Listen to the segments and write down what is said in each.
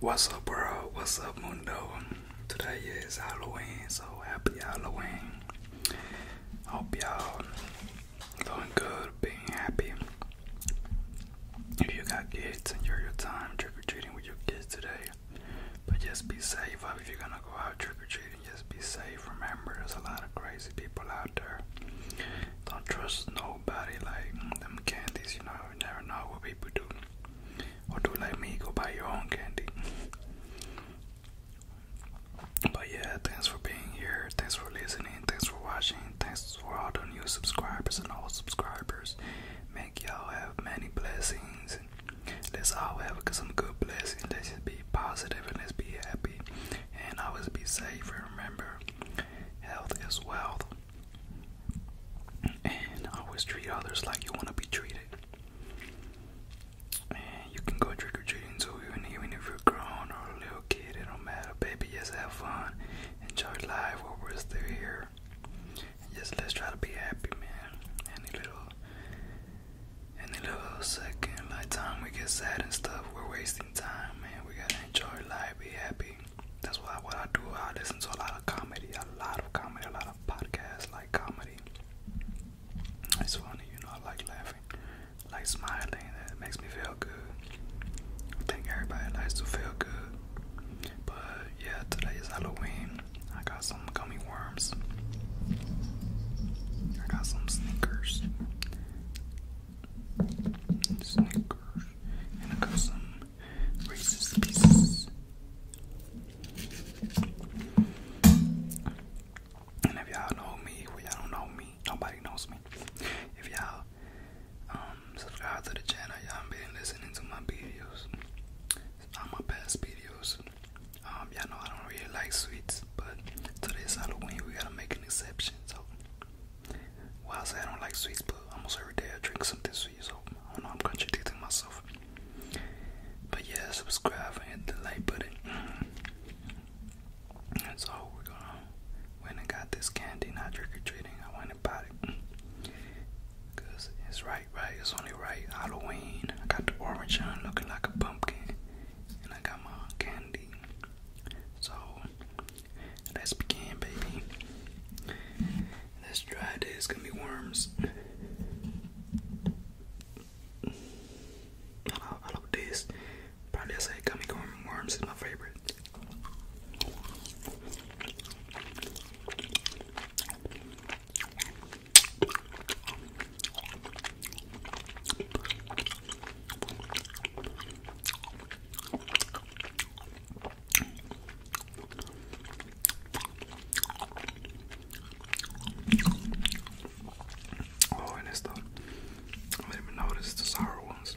What's up, bro? What's up, Mundo? Today is Halloween, so happy Halloween. Hope y'all doing good, being happy. If you got kids, enjoy your time trick or treating with your kids today. But just be safe. If you're gonna go out trick or treating, just be safe. Remember, there's a lot of crazy people out there. Don't trust nobody. Like them candies, you know, you never know what people do. Or do like me, go buy your own candy. But yeah, thanks for being here. Thanks for listening. Thanks for watching. Thanks for all the new subscribers and all subscribers. Make y'all have many blessings. Let's all have some good blessings. Let's just be positive and let's be happy. And always be safe. And remember, health is wealth. And always treat others like you want to be treated. And you can go trick or treating too, even, even if you're grown or a little kid, it don't matter. Baby, just have fun. Enjoy life while we're still here. just let's try to be happy, man. Any little, any little second, like time we get sad and stuff, we're wasting time, man. We gotta enjoy life, be happy that's why I, what I do. I listen to a lot of comedy, a lot of comedy, a lot of podcasts like comedy. It's funny, you know. I like laughing, like smiling. It makes me feel good. I think everybody likes to feel good. But yeah, today is Halloween. I got some gummy worms. I got some sneakers. Snickers, and I got some Reese's Pieces. And if y'all know me, well y'all don't know me, nobody knows me. If y'all um, subscribe to the channel, y'all been listening to my videos, all my past videos. Um, y'all know I don't really like sweets, but today's Halloween, we gotta make an exception. So why I say I don't like sweets, but almost every day I drink something sweet, so I don't know, I'm contradicting myself. But yeah, subscribe and hit the like button. And so we're gonna went and got this candy, not trick or treating. I went and bought it. Cause it's right, right, it's only right. Halloween. I got the orange on looking like a pumpkin. And I got my candy. So that's pecan, baby. That's dry day. It's gonna be worms. I love, this. Probably I say gummy corn worms is my favorite. Oh, and it's the I didn't even notice the sour ones.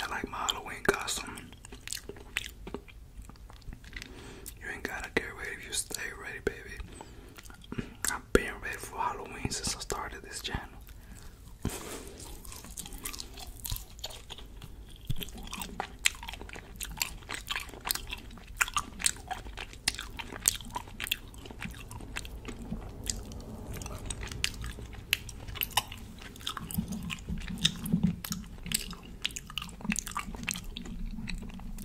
I like my Halloween costume. You ain't gotta get ready if you stay ready, baby. I've been ready for Halloween since I started this channel.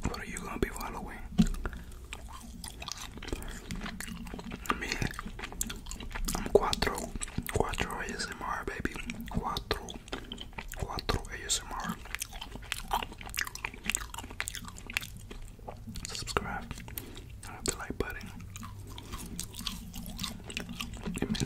What are you gonna be following? Miren, ASMR, baby. 4, ASMR. Subscribe, the like button. It means a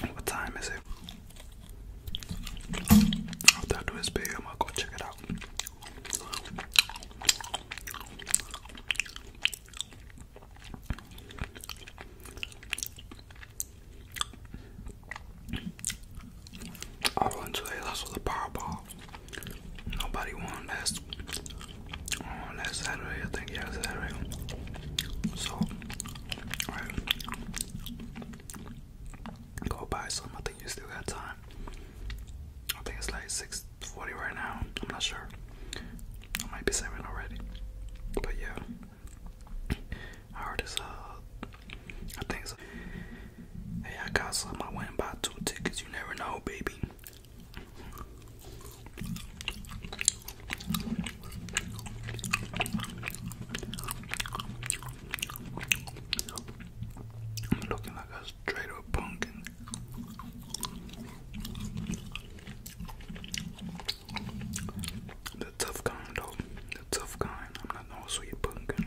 What time is it? After I do this video, I'm gonna go check it out. I won today, lost with a powerball. Nobody won. That's on last Saturday, I think, yeah, Saturday. So, go buy some. I think you still got time. I think it's like 6:40 right now. I'm not sure. I might be seven already, but yeah, I heard it's uh, I think so. Hey, I got some. I went and bought two tickets. You never know, baby. I'm looking like a straight up pumpkin. The tough kind though. The tough kind. I'm not no sweet pumpkin.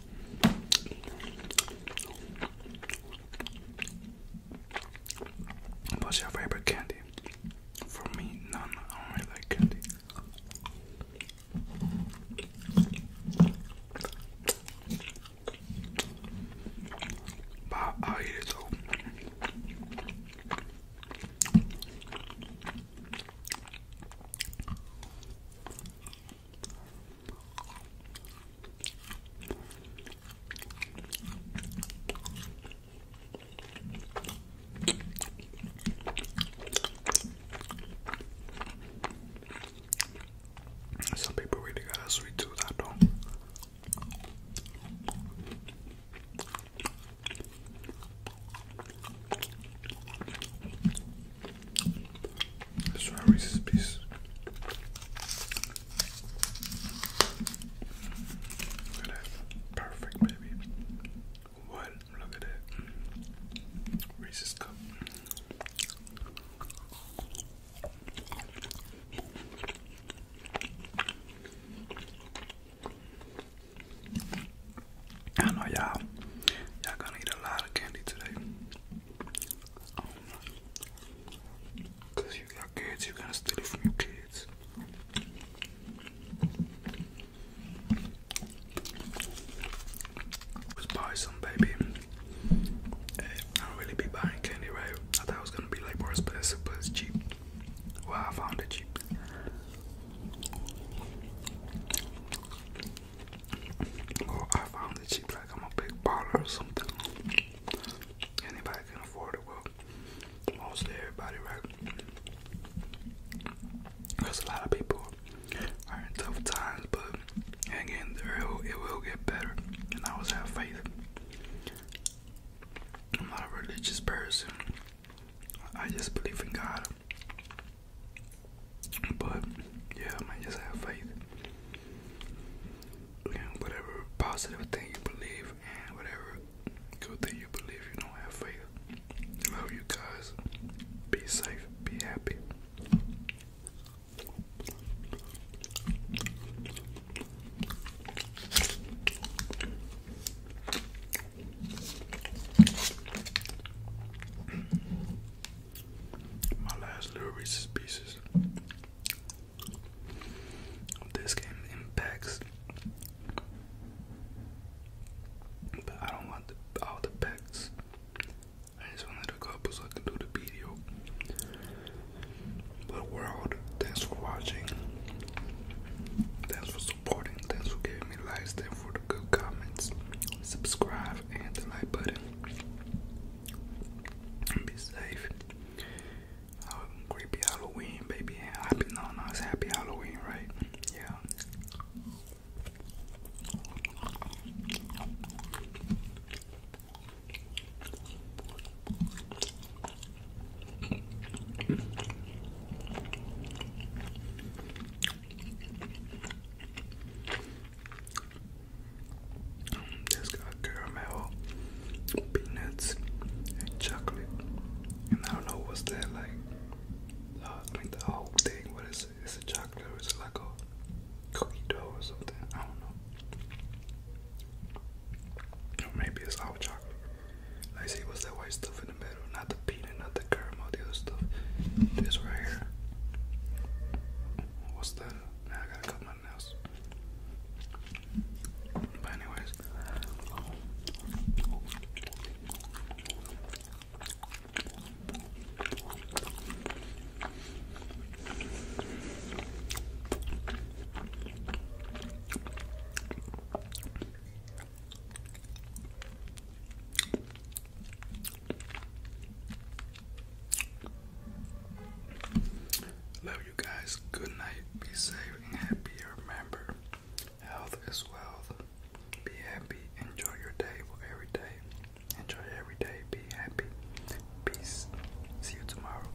What's your favorite candy? For me, none. I only like candy. But I eat it all. Some people really got a sweet tooth, I don't. Strawberries, please. Look at that. Perfect, baby. What? Look at that. Reese's cup. I know y'all, y'all gonna eat a lot of candy today. Um, Cause you got kids, you gotta steal it from your kids. Let's buy some, baby. Eh, I don't really be buying candy, right? I thought it was gonna be like worse, but it's cheap. Well, I found it cheap. Or I found it cheap like I'm a big baller or something. Anybody can afford it, well, mostly everybody, right? There's a lot of people are in tough times, but again, it will get better. And I always have faith. I'm not a religious person. I just believe in God. But yeah, I just have faith. whatever positive thing you believe and whatever good thing you believe, you don't have faith. Love you guys. Be safe. Be happy. My last little Reese's Pieces. This game impacts, but I don't want all the packs. I just wanted a couple so I can do the video. But world, thanks for watching. Thanks for supporting. Thanks for giving me likes. Thanks for the good comments. Subscribe and the like button. Be safe. creepy Halloween, baby. Happy no, no, it's happy Halloween, right? Yeah it got caramel, peanuts, and chocolate. And I don't know what's that like. Uh, like the whole thing. What is it? Is it chocolate is it like a cookie dough or something? I don't know. Or maybe it's all chocolate. I see what's that white stuff in the middle, not the peanut, not the caramel, the other stuff. This right here. What's that? Now I gotta cut my nails. But anyways. Love you guys. Good night. Be safe and happy. Remember, health is wealth. Be happy. Enjoy your day for every day. Enjoy every day. Be happy. Peace. See you tomorrow.